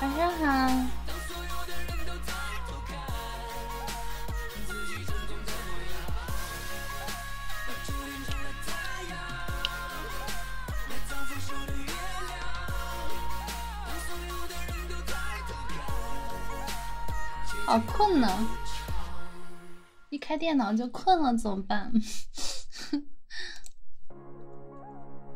晚上好。好困呢，一开电脑就困了，怎么办？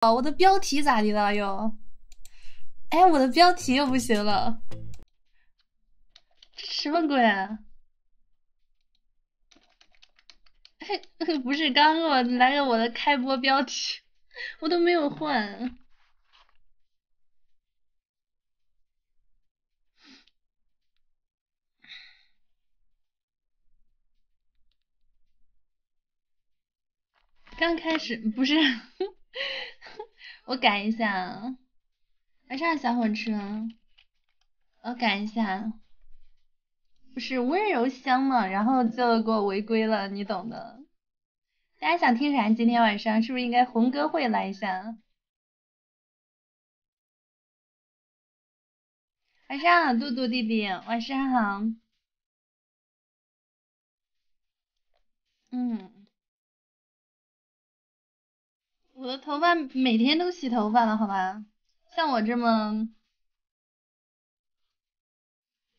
啊，我的标题咋的了又？哎，我的标题又不行了，什么鬼？不是，刚给我来个我的开播标题，我都没有换。刚开始不是，我改一下，还是小火车，我改一下。不是温柔乡嘛，然后就给我违规了，你懂的。大家想听啥？今天晚上是不是应该红歌会来一下？晚上好，杜杜弟弟，晚上好。嗯，我的头发每天都洗头发了，好吧？像我这么。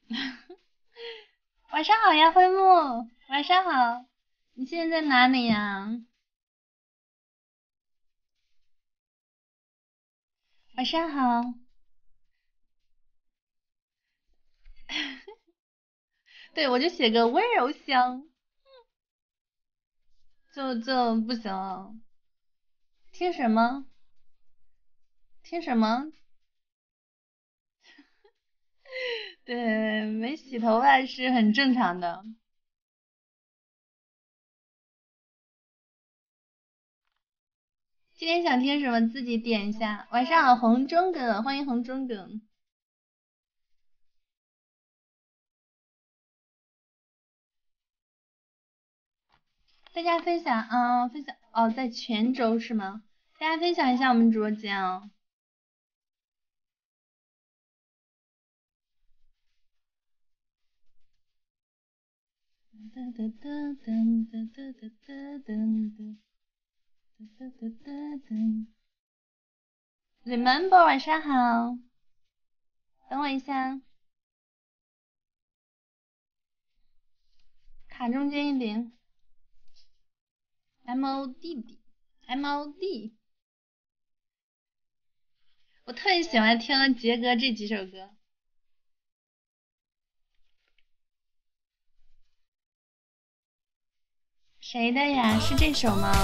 晚上好呀，灰木。晚上好，你现在在哪里呀？晚上好。对我就写个温柔乡，就就不行。听什么？听什么？对，没洗头发是很正常的。今天想听什么自己点一下。晚上好，红中哥，欢迎红中哥。大家分享，嗯，分享哦，在泉州是吗？大家分享一下我们直播间哦。噔噔噔噔噔噔噔噔噔噔噔噔。Remember 晚上好，等我一下。卡中间一点，M O D 弟，M O D。我特别喜欢听杰哥这几首歌，谁的呀？是这首吗？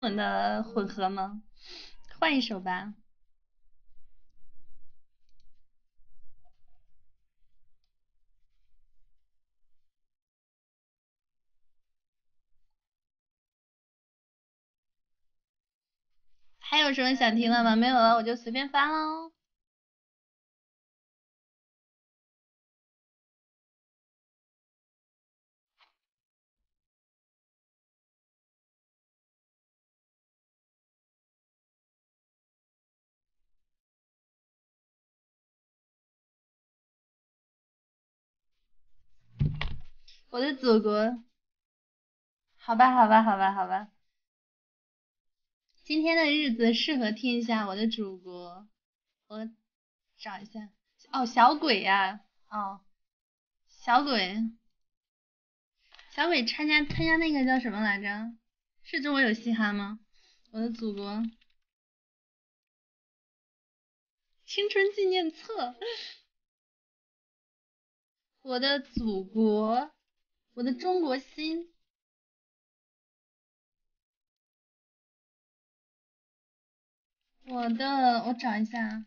混的混合吗？换一首吧。还有什么想听的吗？没有了我就随便翻喽。我的祖国，好吧，好吧，好吧，好吧。今天的日子适合听一下我的祖国。我找一下，哦，小鬼呀，哦，小鬼，小鬼参加参加那个叫什么来着？是中国有嘻哈吗？我的祖国。青春纪念册，我的祖国，我的中国心，我的，我找一下。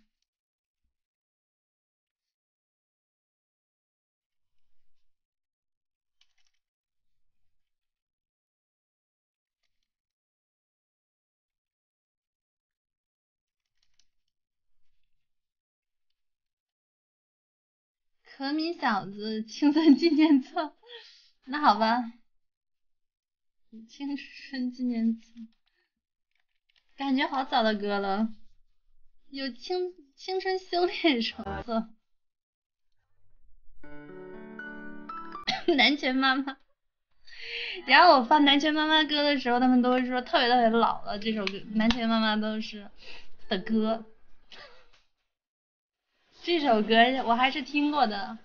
可米小子 《青春纪念册》，那好吧，《青春纪念册》，感觉好早的歌了，有《青青春修炼手册》，南拳妈妈。然后我放《南拳妈妈》歌的时候，他们都会说特别特别老了这首歌，《南拳妈妈》都是的歌。这首歌我还是听过的。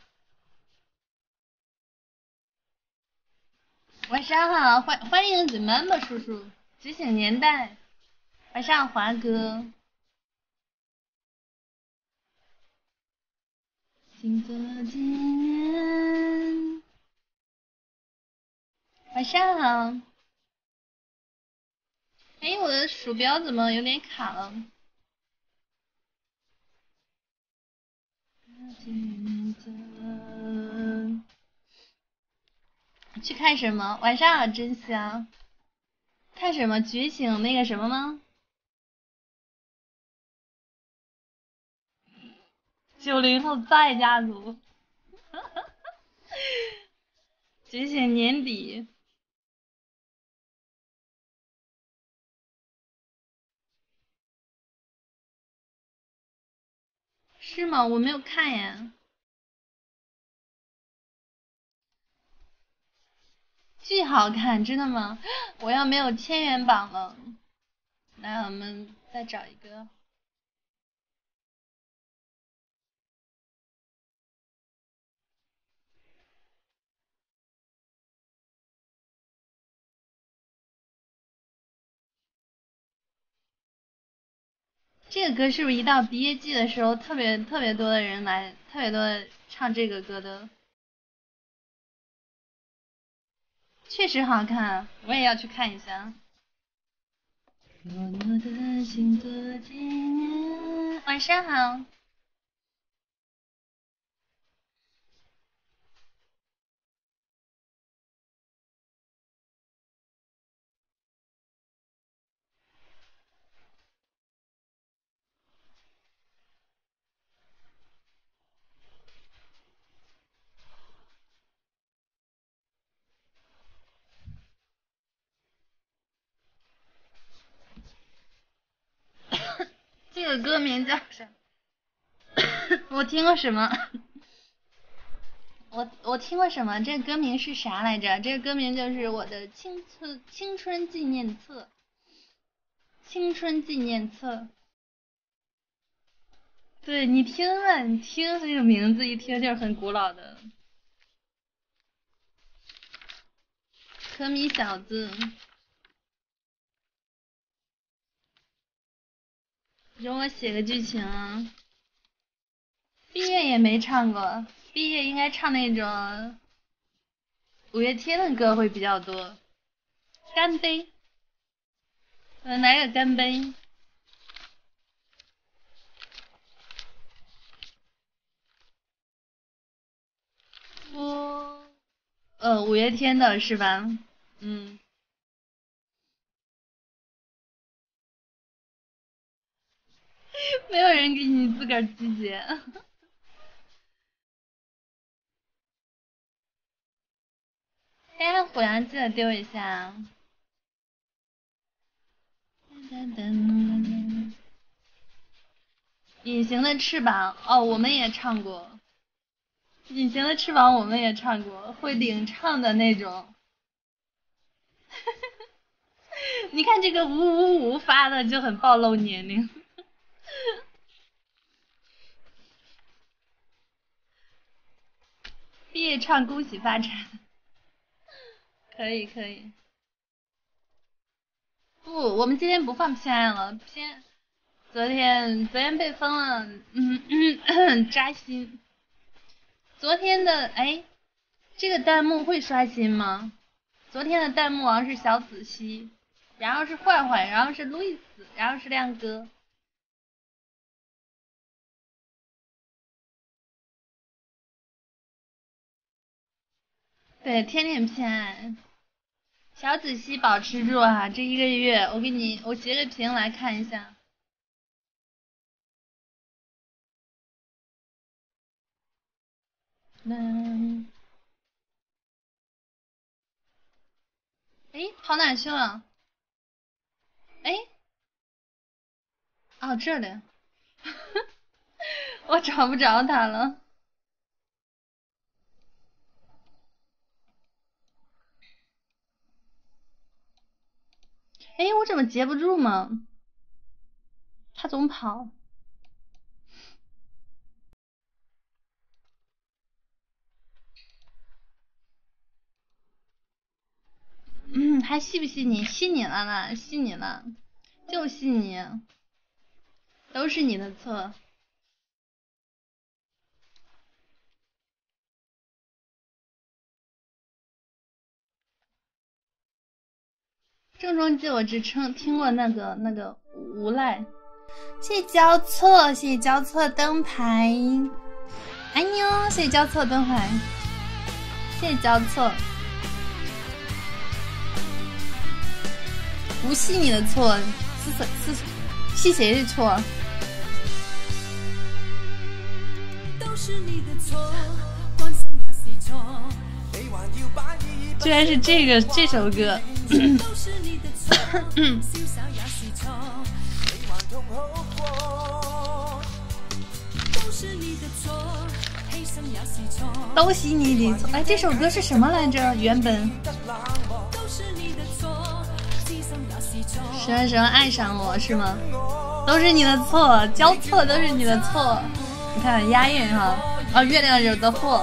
晚上好，欢欢迎子妈妈叔叔，觉醒年代。晚上华哥。新做纪念。晚上好。哎，我的鼠标怎么有点卡了？去看什么？晚上好，真香。看什么？觉醒那个什么吗？九零后再家族，仅 哈年底是吗？我没有看呀。巨好看，真的吗？我要没有千元榜了。来，我们再找一个。这个歌是不是一到毕业季的时候，特别特别多的人来，特别多唱这个歌的？确实好看，我也要去看一下。晚上好。这个歌名叫什么？我听过什么？我我听过什么？这个歌名是啥来着？这个歌名就是《我的青春青春纪念册》。青春纪念册。对你听啊，你听这个名字一听就是很古老的。可米小子，容我写个剧情。啊。毕业也没唱过，毕业应该唱那种五月天的歌会比较多。干杯。嗯，来个干杯。我，呃，五月天的是吧？嗯，没有人给你自个儿集结。哎，虎然记得丢一下。隐形的翅膀，哦，我们也唱过。隐形的翅膀，我们也唱过，会领唱的那种。你看这个五五五发的就很暴露年龄。毕业唱恭喜发财，可以可以。不，我们今天不放偏爱了，偏昨天昨天被封了，扎心。昨天的哎，这个弹幕会刷新吗？昨天的弹幕王是小紫曦。然后是坏坏，然后是路易斯，然后是亮哥。对，天天偏爱。小子熙保持住啊，这一个月我给你，我截个屏来看一下。哎，跑哪去了？哎，哦，这里，我找不着他了。哎，我怎么截不住嘛？他总跑。嗯，还信不信你？信你了啦，信你了，就信你，都是你的错。郑中基，我只听听过那个那个。无赖，谢谢错，谢谢错灯牌，爱你哦，谢谢交错灯牌，谢谢交错。不是你的错，是是，是谁的错？居然是这个这首歌。都是你的错，都是哎，这首歌是什么来着？原本什么什么爱上我是吗？都是你的错，交错都是你的错，你看押韵哈，啊，月亮惹的祸。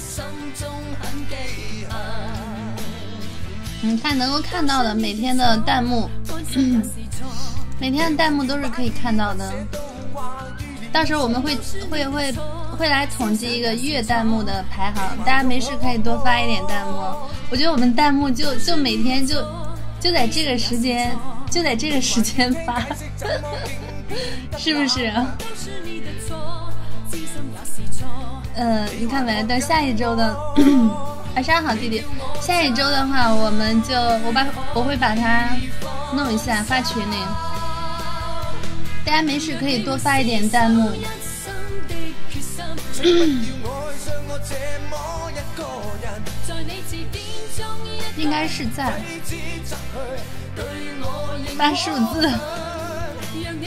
你看，能够看到的每天的弹幕，每天的弹幕都是可以看到的。到时候我们会会会会来统计一个月弹幕的排行，大家没事可以多发一点弹幕。我觉得我们弹幕就就每天就就在这个时间就在这个时间发，是不是？嗯，你看没？等下一周的晚上 好，弟弟。下一周的话，我们就我把我会把它弄一下发群里，大家没事可以多发一点弹幕。应该是在发数字。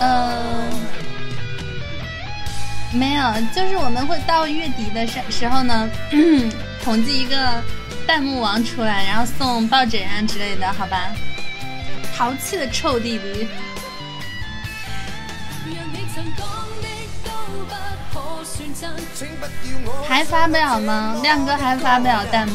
嗯，没有，就是我们会到月底的时时候呢，统计一个弹幕王出来，然后送抱枕啊之类的，好吧？淘气的臭弟弟，还发表吗？亮哥还发表弹幕？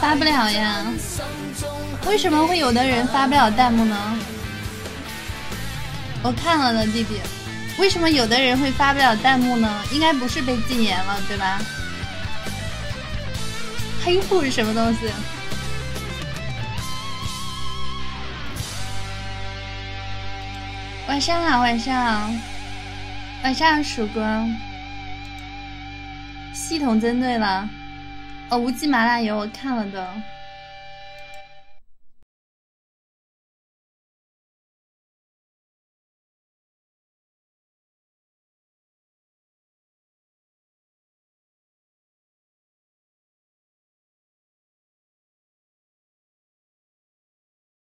发不了呀？为什么会有的人发不了弹幕呢？我看了的弟弟，为什么有的人会发不了弹幕呢？应该不是被禁言了，对吧？黑户是什么东西？晚上好，晚上，晚上，曙光。系统针对了，哦，无机麻辣油，我看了的。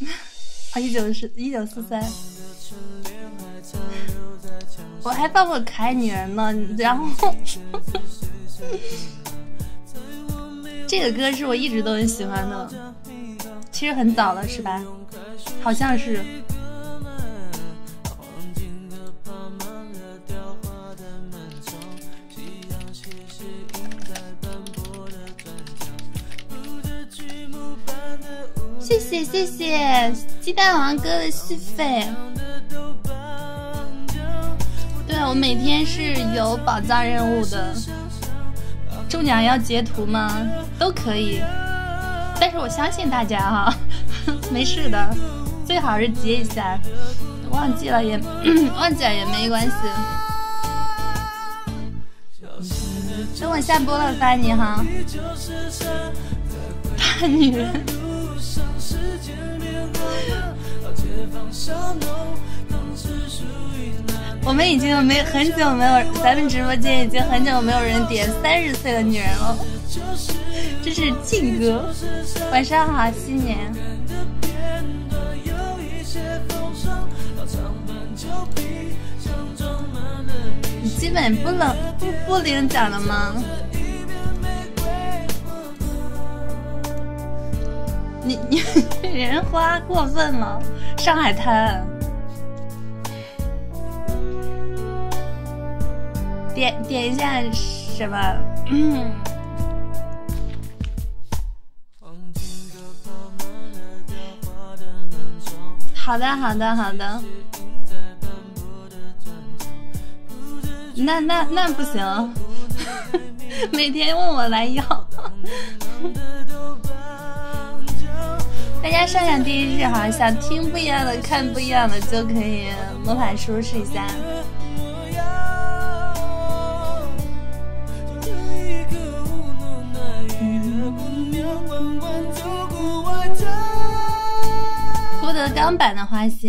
啊！一九四一九四三。我还抱么可爱女人呢，然后，这个歌是我一直都很喜欢的，其实很早了是吧？好像是。谢谢谢谢鸡蛋王哥的续费。对，我每天是有宝藏任务的，中奖要截图吗？都可以，但是我相信大家哈，没事的，最好是截一下，忘记了也 忘记了也没关系。等我下播了发你哈，大女人。我们已经没很久没有，咱们直播间已经很久没有人点三十岁的女人了。这是静哥，晚上好，新年。基本不冷不不领奖了吗？你你人花过分了，上海滩。点点一下什么？好的好的好的。那那那不行，每天问我来要。大家上上一句哈，想听不一样的，看不一样的就可以。魔法书试一下。郭德纲版的《花心》。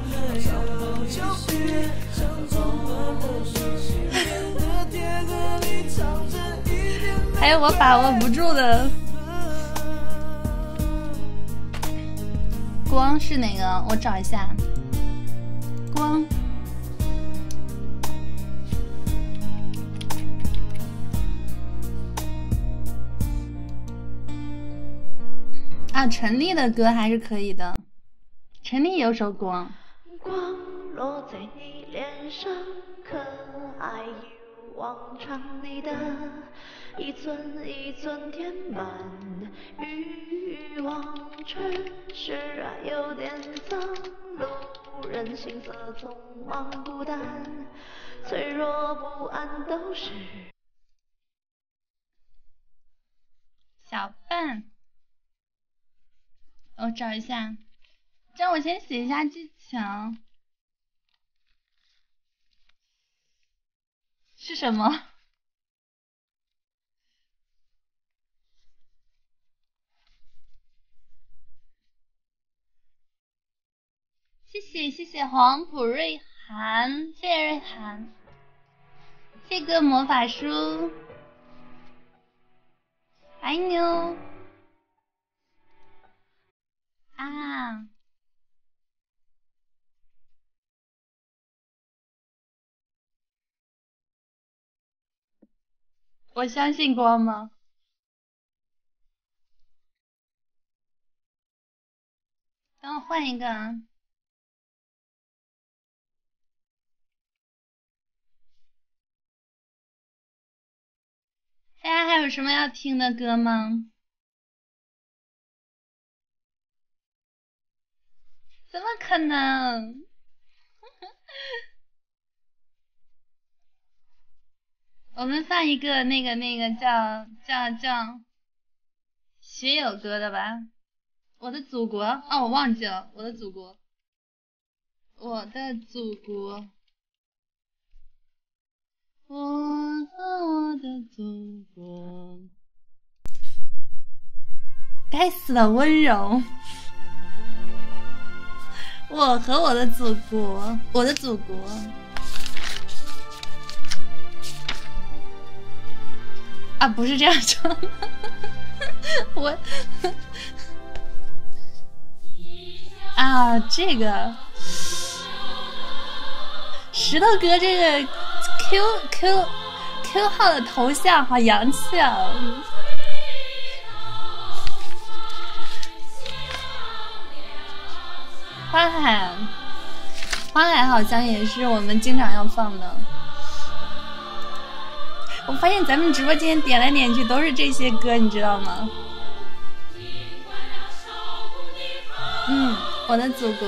还有我把握不住的光是哪个？我找一下光。啊，陈粒的歌还是可以的。陈粒有首《光》。光落在你脸上，可爱一如往常。你的一寸一寸填满欲望，却释然有点脏。路人行色匆忙，孤单、脆弱、不安都是。小笨，我找一下，让我先写一下剧情，是什么？谢谢谢谢黄普瑞涵，谢谢瑞涵。谢个魔法书，爱你哦！啊，我相信光吗？等我换一个，大家还有什么要听的歌吗？怎么可能？我们放一个那个那个叫叫叫。学友歌的吧，我的祖国啊，我忘记了，我的祖国，我的祖国，我和我的祖国，该死的温柔，我和我的祖国，我的祖国。啊，不是这样说，我啊，这个石头哥这个 Q Q Q 号的头像好洋气啊！花海，花海好像也是我们经常要放的。我发现咱们直播间点来点去都是这些歌，你知道吗？嗯，我的祖国。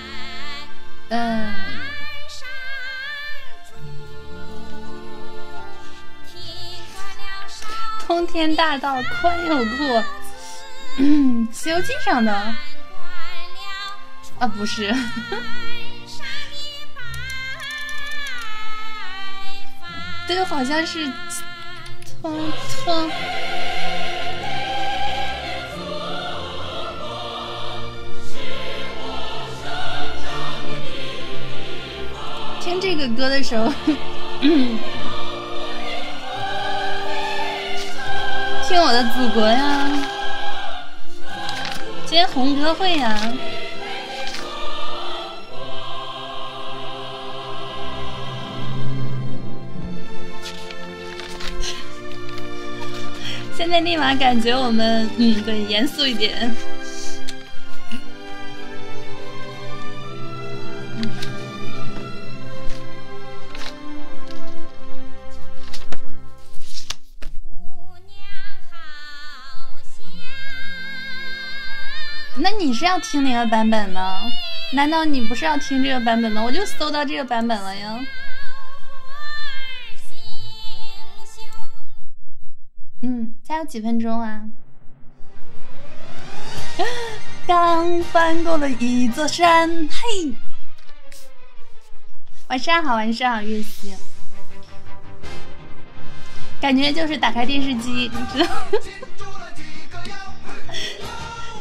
嗯。通天大道宽又阔，嗯，西游记上的啊不是，都好像是通通。听这个歌的时候，听我的祖国呀，今天红歌会呀。现在立马感觉我们，嗯，对，严肃一点。那你是要听哪个版本呢？难道你不是要听这个版本吗？我就搜到这个版本了呀。嗯，还有几分钟啊！刚翻过了一座山，嘿！晚上好，晚上好，月西，感觉就是打开电视机，你知道？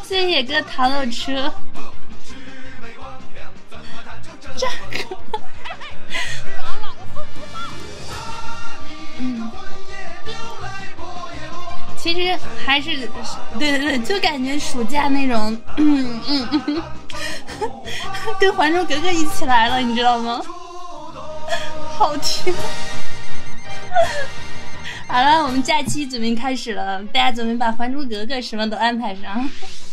谢谢哥，糖豆车。这，嗯，其实还是，对对对，就感觉暑假那种，嗯嗯嗯，跟《还珠格格》一起来了，你知道吗？好听。好了，我们假期准备开始了，大家准备把《还珠格格》什么都安排上。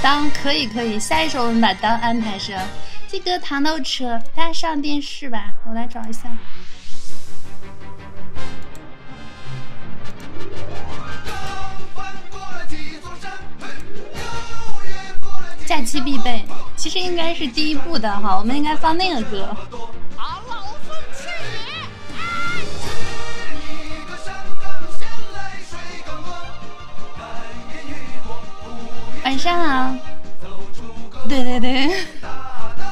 当可以可以，下一首我们把当安排上。这个糖豆车，大家上电视吧，我来找一下。假期必备，其实应该是第一部的哈，我们应该放那个歌。晚上好。对对对，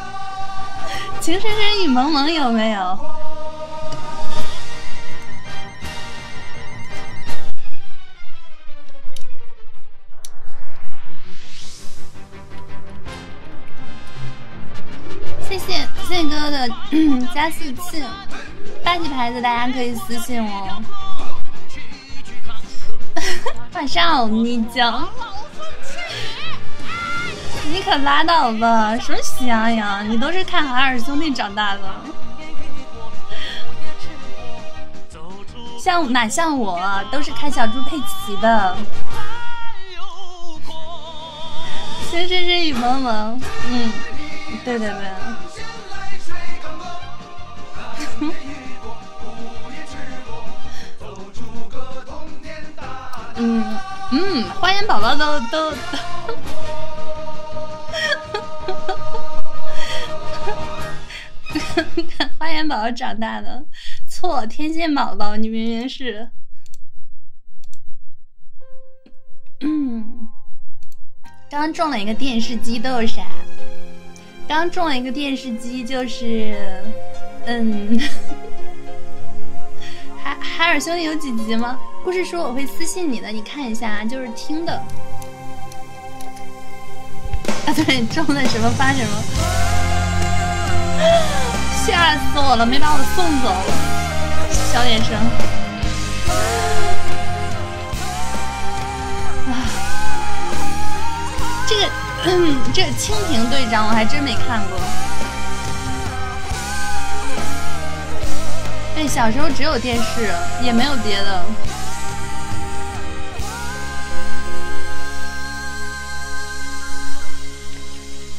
情深深雨蒙蒙有没有？谢谢谢谢哥哥的 加速器，霸气牌子大家可以私信我。晚上你讲，你可拉倒吧？什么喜羊羊？你都是看海尔兄弟长大的，像哪像我？都是看小猪佩奇的。先生是雨蒙蒙，嗯，对对对。嗯嗯，花园宝宝都都都，花 园宝宝长大的错，天线宝宝，你明明。是，嗯，刚中了一个电视机，都有啥？刚中了一个电视机，就是，嗯，海海尔兄弟有几集吗？故事书我会私信你的，你看一下，就是听的。啊，对，中了什么发什么。吓死我了！没把我送走，小点声。哎，这个，这《蜻蜓队长》我还真没看过。哎，小时候只有电视，也没有别的。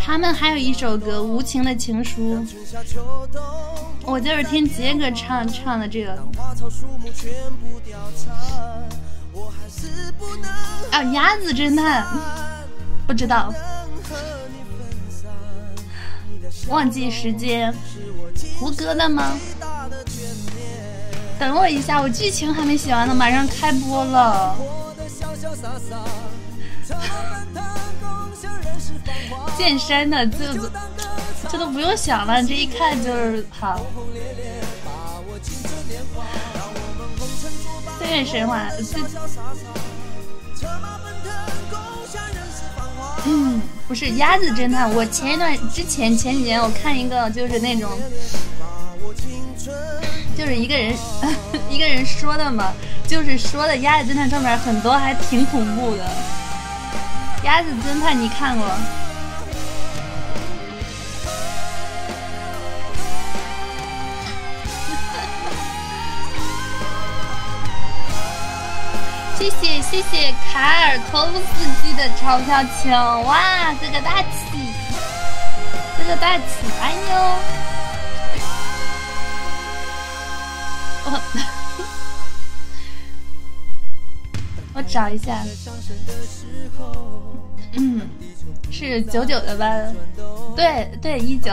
他们还有一首歌《无情的情书》，我就是听杰哥唱唱的这个。啊，鸭子侦探不知道。忘记时间，胡歌的吗？等我一下，我剧情还没写完呢，马上开播了。健身的这都这都不用想了，这一看就是好。对神话。嗯，不是鸭子侦探。我前一段之前前几年，我看一个就是那种，就是一个人 一个人说的嘛，就是说的鸭子侦探上面很多还挺恐怖的。鸭子侦探你看过？谢谢谢谢卡尔托夫斯基的钞票球，哇，这个大气，这个大气，哎呦，我，我找一下，嗯，是九九的吧？对对，一九。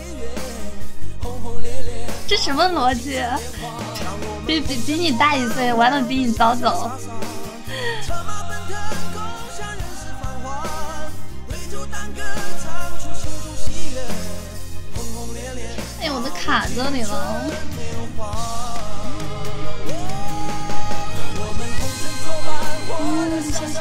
这什么逻辑？比比比你大一岁，玩的比你早走。哎，我都卡这里了。嗯，先先。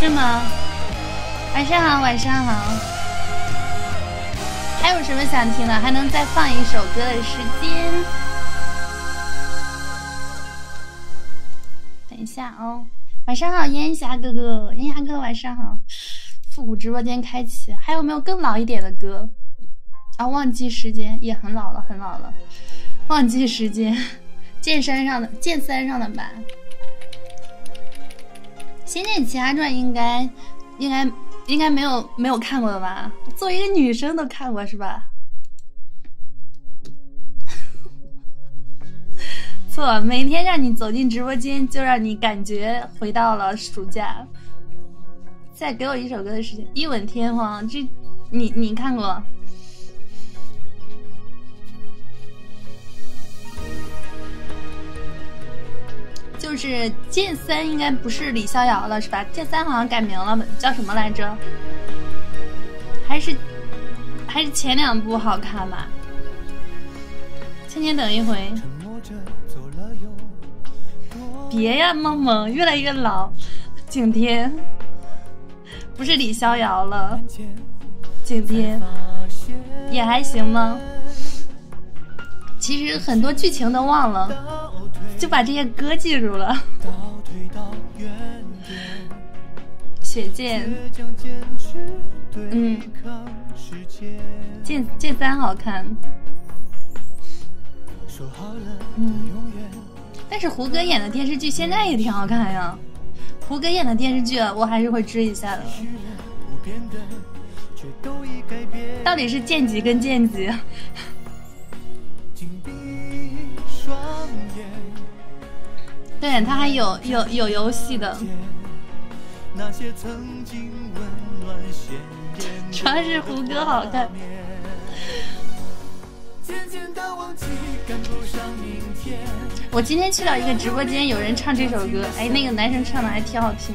是吗？晚上好，晚上好。还有什么想听的？还能再放一首歌的时间？等一下哦，晚上好，烟霞哥哥，烟霞哥晚上好，复古直播间开启。还有没有更老一点的歌？啊，忘记时间也很老了，很老了。忘记时间，剑山上的剑三上的吧。《仙剑奇侠传》应该。应该应该没有没有看过的吧？作为一个女生都看过是吧？错，每天让你走进直播间，就让你感觉回到了暑假。再给我一首歌的时间，《一吻天荒》，这你你看过？就是剑三应该不是李逍遥了，是吧？剑三好像改名了，叫什么来着？还是还是前两部好看吧？千年等一回，别呀，梦梦越来越老，景天不是李逍遥了，景天也还行吗？其实很多剧情都忘了。就把这些歌记住了。雪剑，嗯，剑剑三好看。嗯，但是胡歌演的电视剧现在也挺好看呀。胡歌演的电视剧我还是会追一下的。到底是剑姬跟剑姬？对他还有有有游戏的，主要是胡歌好看。我今天去到一个直播间，有人唱这首歌，哎，那个男生唱的还挺好听。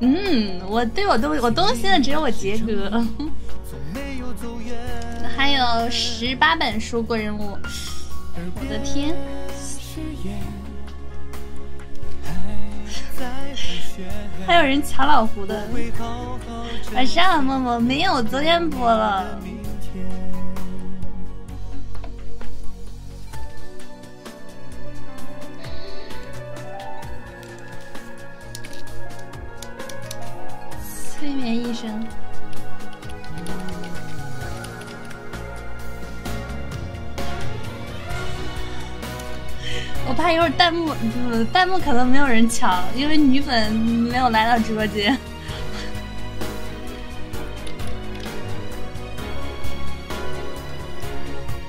嗯，我对我都我动心的只有我杰哥，还有十八本书过任务，我的天，还有人抢老胡的，晚上好默默，没有，昨天播了。催眠医生，我怕一会儿弹幕，弹幕可能没有人抢，因为女粉没有来到直播间。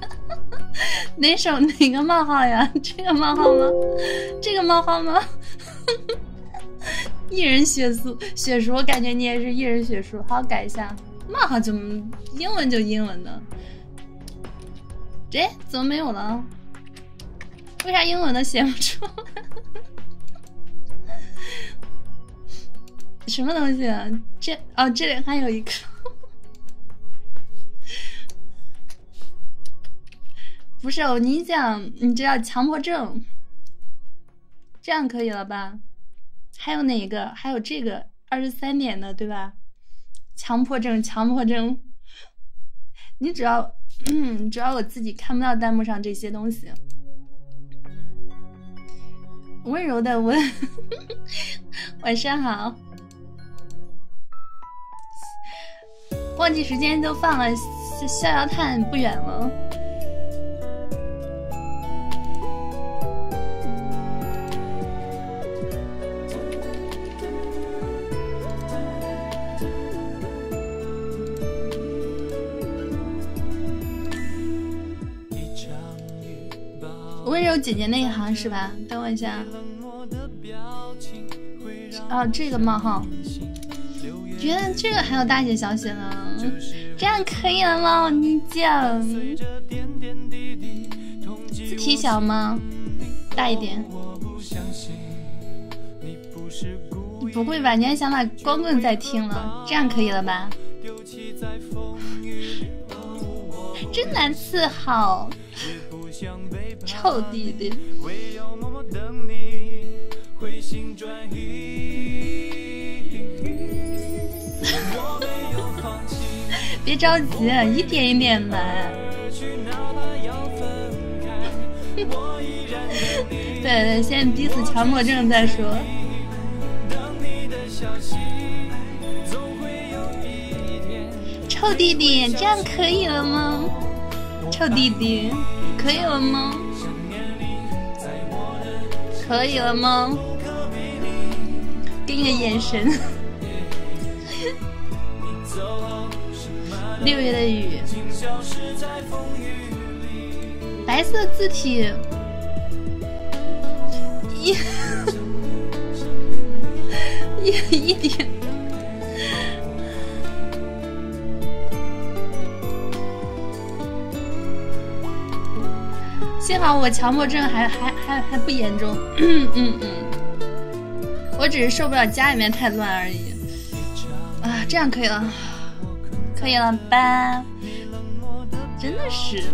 哪首哪个冒号呀？这个冒号吗？这个冒号吗？一人血素血书，我感觉你也是一人血书。好，改一下。冒号怎么英文就英文的。这怎么没有了？为啥英文的写不出？什么东西？啊？这哦，这里还有一个。不是哦，你讲，你知道强迫症，这样可以了吧？还有哪一个？还有这个二十三点的，对吧？强迫症，强迫症，你只要，嗯，只要我自己看不到弹幕上这些东西。温柔的温，晚上好。忘记时间就放了逍遥叹，不远了。温柔姐姐那一行是吧？等我一下。啊，这个冒号，觉得这个还有大写小写呢，这样可以了吗？你讲，字体小吗？大一点。不会吧？你还想把光棍再听了？这样可以了吧？真难伺候。臭弟弟！别着急，一点一点来。对 对，先逼死强迫症再说。臭弟弟，这样可以了吗？臭弟弟，可以了吗？可以了吗？给你个眼神。六月的雨，白色字体，一，一，一点。幸好我强迫症还还还还不严重，嗯嗯我只是受不了家里面太乱而已。啊，这样可以了，可以了吧？真的是。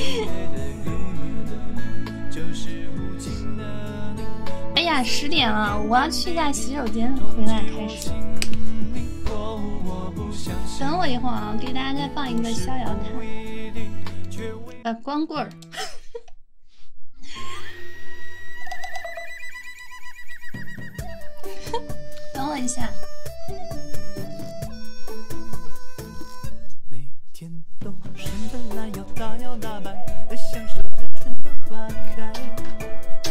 哎呀，十点了，我要去一下洗手间，回来开始。等我一会儿啊，给大家再放一个《逍遥叹》，呃，《光棍儿》。等我一下。每天都伸着懒腰，大摇大摆的享受着春暖花开，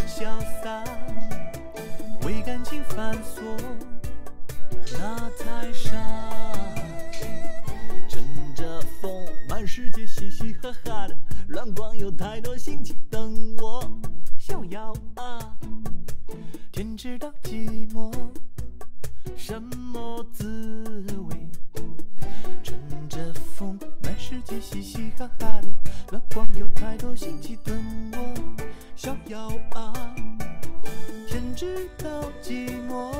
潇洒。为感情繁琐，那太傻。乘着风，满世界嘻嘻哈哈的乱逛，有太多心情等我逍遥啊。天知道寂寞。什么滋味？乘着风，满世界嘻嘻哈哈的，老光有太多新奇等我逍遥啊！天知道寂寞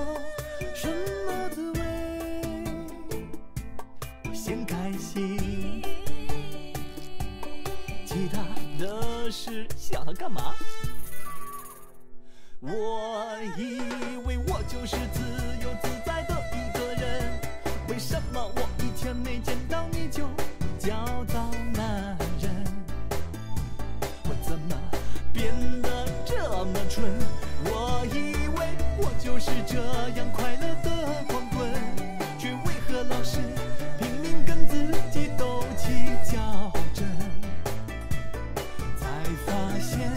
什么滋味？我先开心，其他的事想它干嘛？我以为我就是自由自在的一个人，为什么我一天没见到你就焦躁难忍？我怎么变得这么蠢？我以为我就是这样快乐的光棍，却为何老是拼命跟自己斗气较真？才发现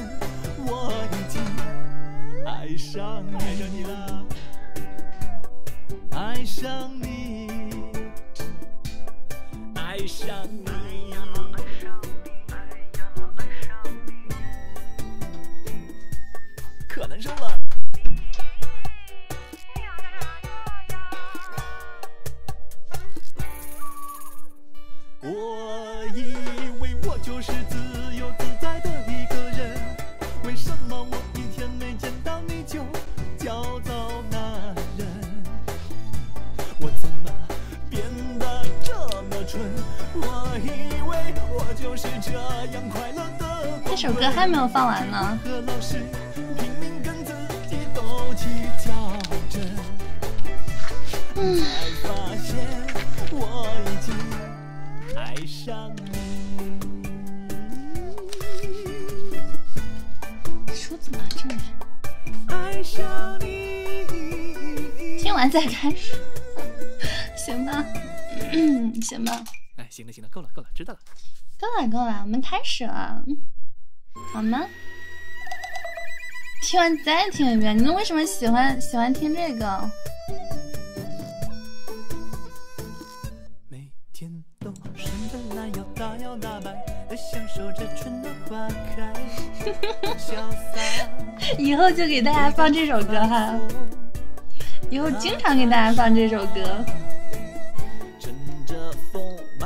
我已经爱上你，爱上你，爱上你，爱上你，可难受了。我以为我就是自由自在的一个人为什么我一天没见到你就焦躁难忍我怎么变得这么蠢我以为我就是这样快乐的这首歌还没有放完呢都去较真，才发现我已经爱上你。说怎么这里？听完再开始，行吧？嗯，行吧。哎，行了，行了，够了，够了，知道了。够了，够了，我们开始了，好吗？听完再听一遍，你们为什么喜欢喜欢听这个？以后就给大家放这首歌哈，以后经常给大家放这首歌。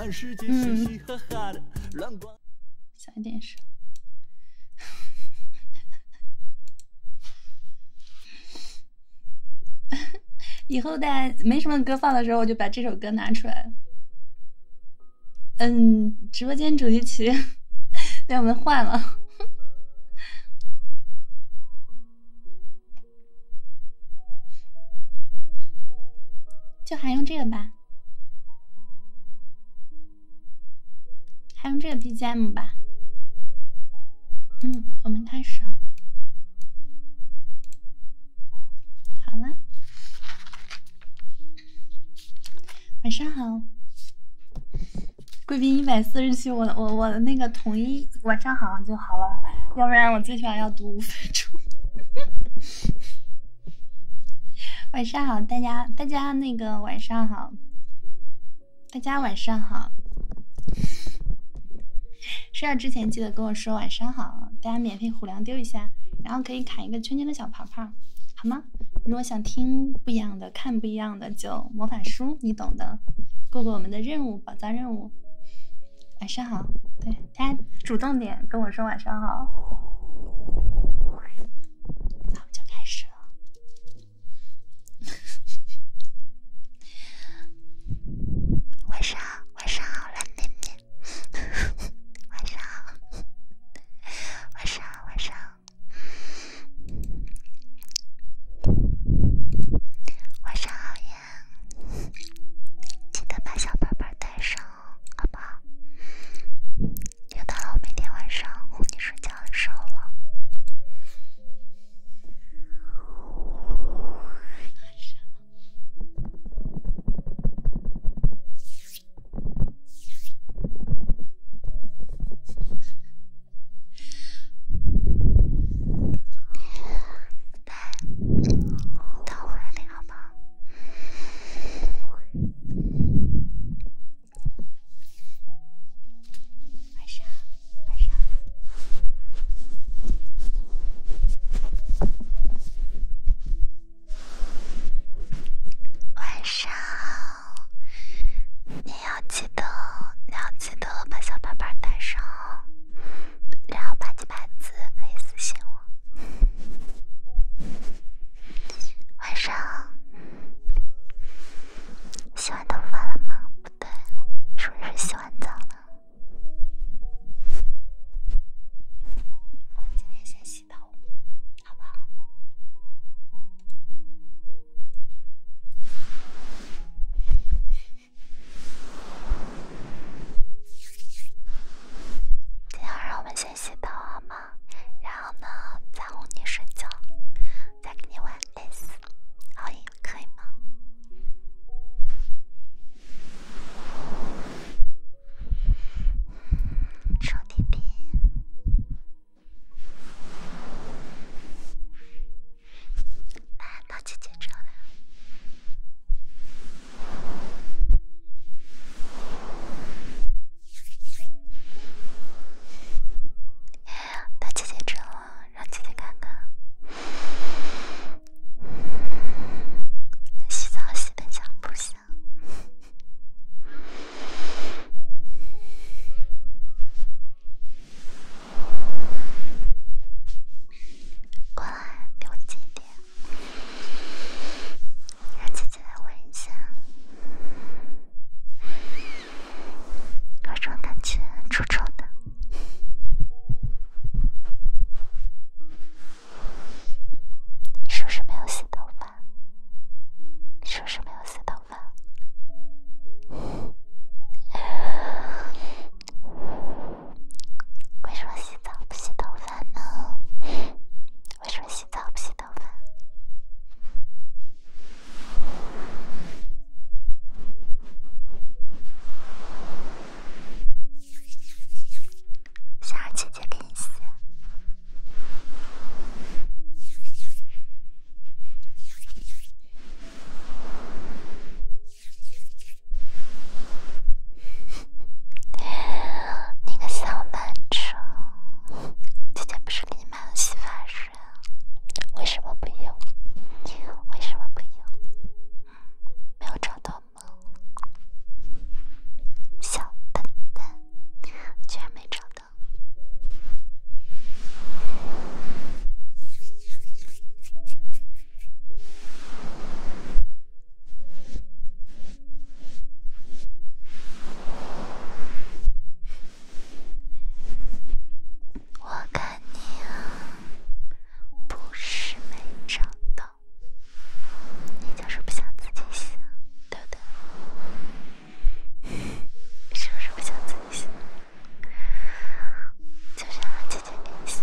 小一点声。以后大家没什么歌放的时候，我就把这首歌拿出来。嗯，直播间主题曲，被我们换了，就还用这个吧。还用这个 BGM 吧，嗯，我们开始，啊。好了，晚上好，贵宾一百四十七，我我我那个统一晚上好就好了，要不然我最起码要读五分钟。晚上好，大家，大家那个晚上好，大家晚上好。睡觉之前记得跟我说晚上好。大家免费虎粮丢一下，然后可以砍一个圈圈的小泡泡，好吗？如果想听不一样的，看不一样的，就魔法书，你懂的。过过我们的任务，宝藏任务。晚上好，对。大家主动点跟我说晚上好，们就开始了。晚上好，晚上好蓝妹妹。晚上好，晚上好，晚上，晚上好呀。记得把小包包带上。好吧，又到了每天晚上哄你睡觉的时候了。来，躺怀里，好不晚上，晚上，晚上，你要记得，你要记得把小伴伴带上然后，八七八字可以私信我。晚上洗完头发了吗？不对，是不是洗完澡了？今天先洗头，好不好？今天晚上我们先。洗澡好吗？然后呢，再哄你睡觉，再跟你玩 this，可以吗？臭逼逼，来拿起戒指了。他姐姐真冷，让姐姐看看。洗澡洗得香不香？过来，离我近点。让姐姐来闻一下，各种感情，种种的，是不是没有洗头发？是不是没有洗头发？为什么洗澡不洗头发呢？为什么洗澡不洗头发？想让姐姐给你洗。那个小笨猪，姐姐不是给你买了洗发水？为什么不用？为什么不用？没有找到吗？小笨笨，居然没找到。我看你啊，不是没找到，你就是不想自己想，对不对？是不是不想自己想，就想和姐姐联系？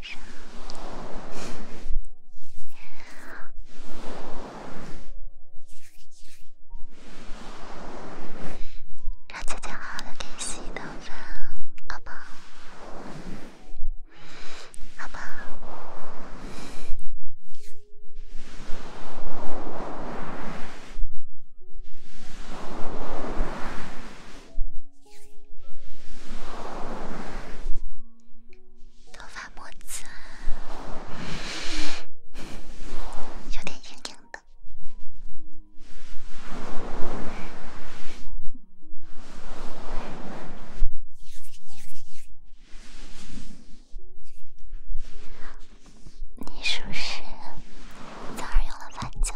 让自己好好的给你洗一顿饭，好吧？好吧？头发莫脏，有点硬硬的。你是不是早上用了擦胶？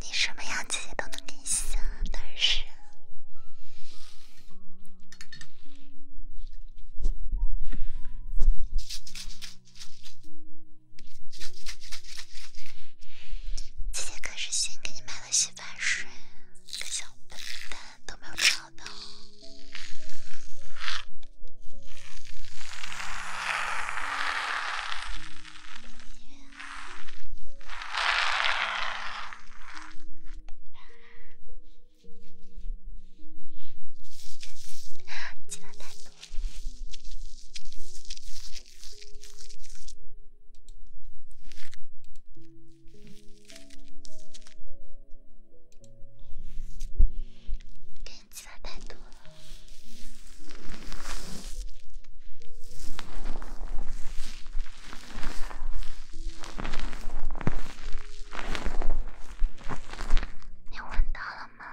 你什么样姐姐都能给你想，当是。姐姐可是先给你买。洗发水，小笨蛋都没有找到。给你加太多了，你闻到了吗？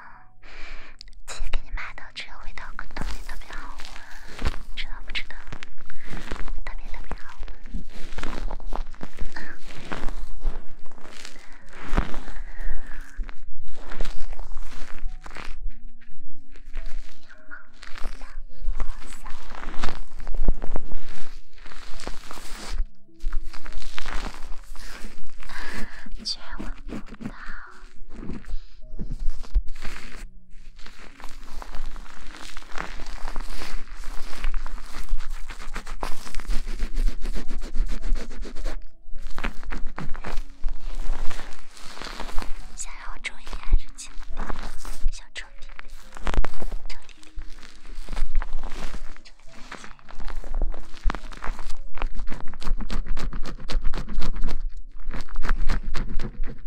姐给你买的，这个味道特别特别好。知道不知道？特别特别好。不到。想要重一点还是轻一点？想重一点，重一点，重一点。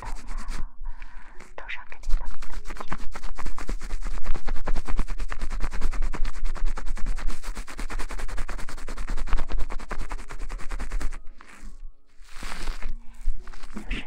头发，头上肯定都没得劲，就是让我做一点注意了。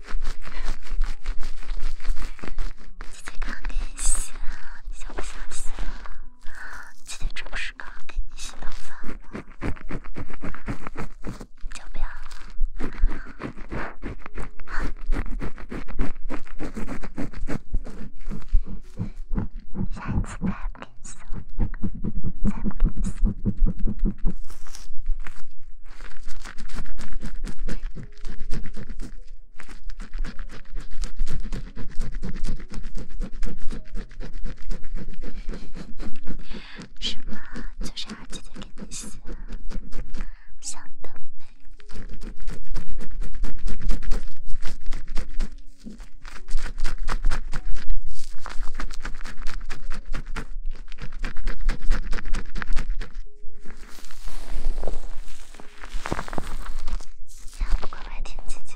姐姐刚给你洗了，你笑不笑？姐姐这不是刚给你洗头发吗？就不要？了。下一次再不给送，再不给送。是 吗？就是阿姐姐给你洗的，想得美。要不乖乖听姐姐？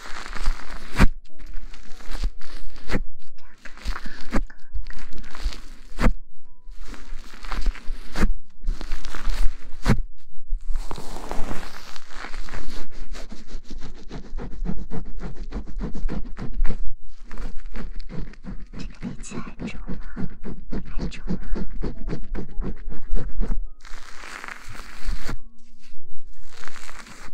这个比起来重了，还重了。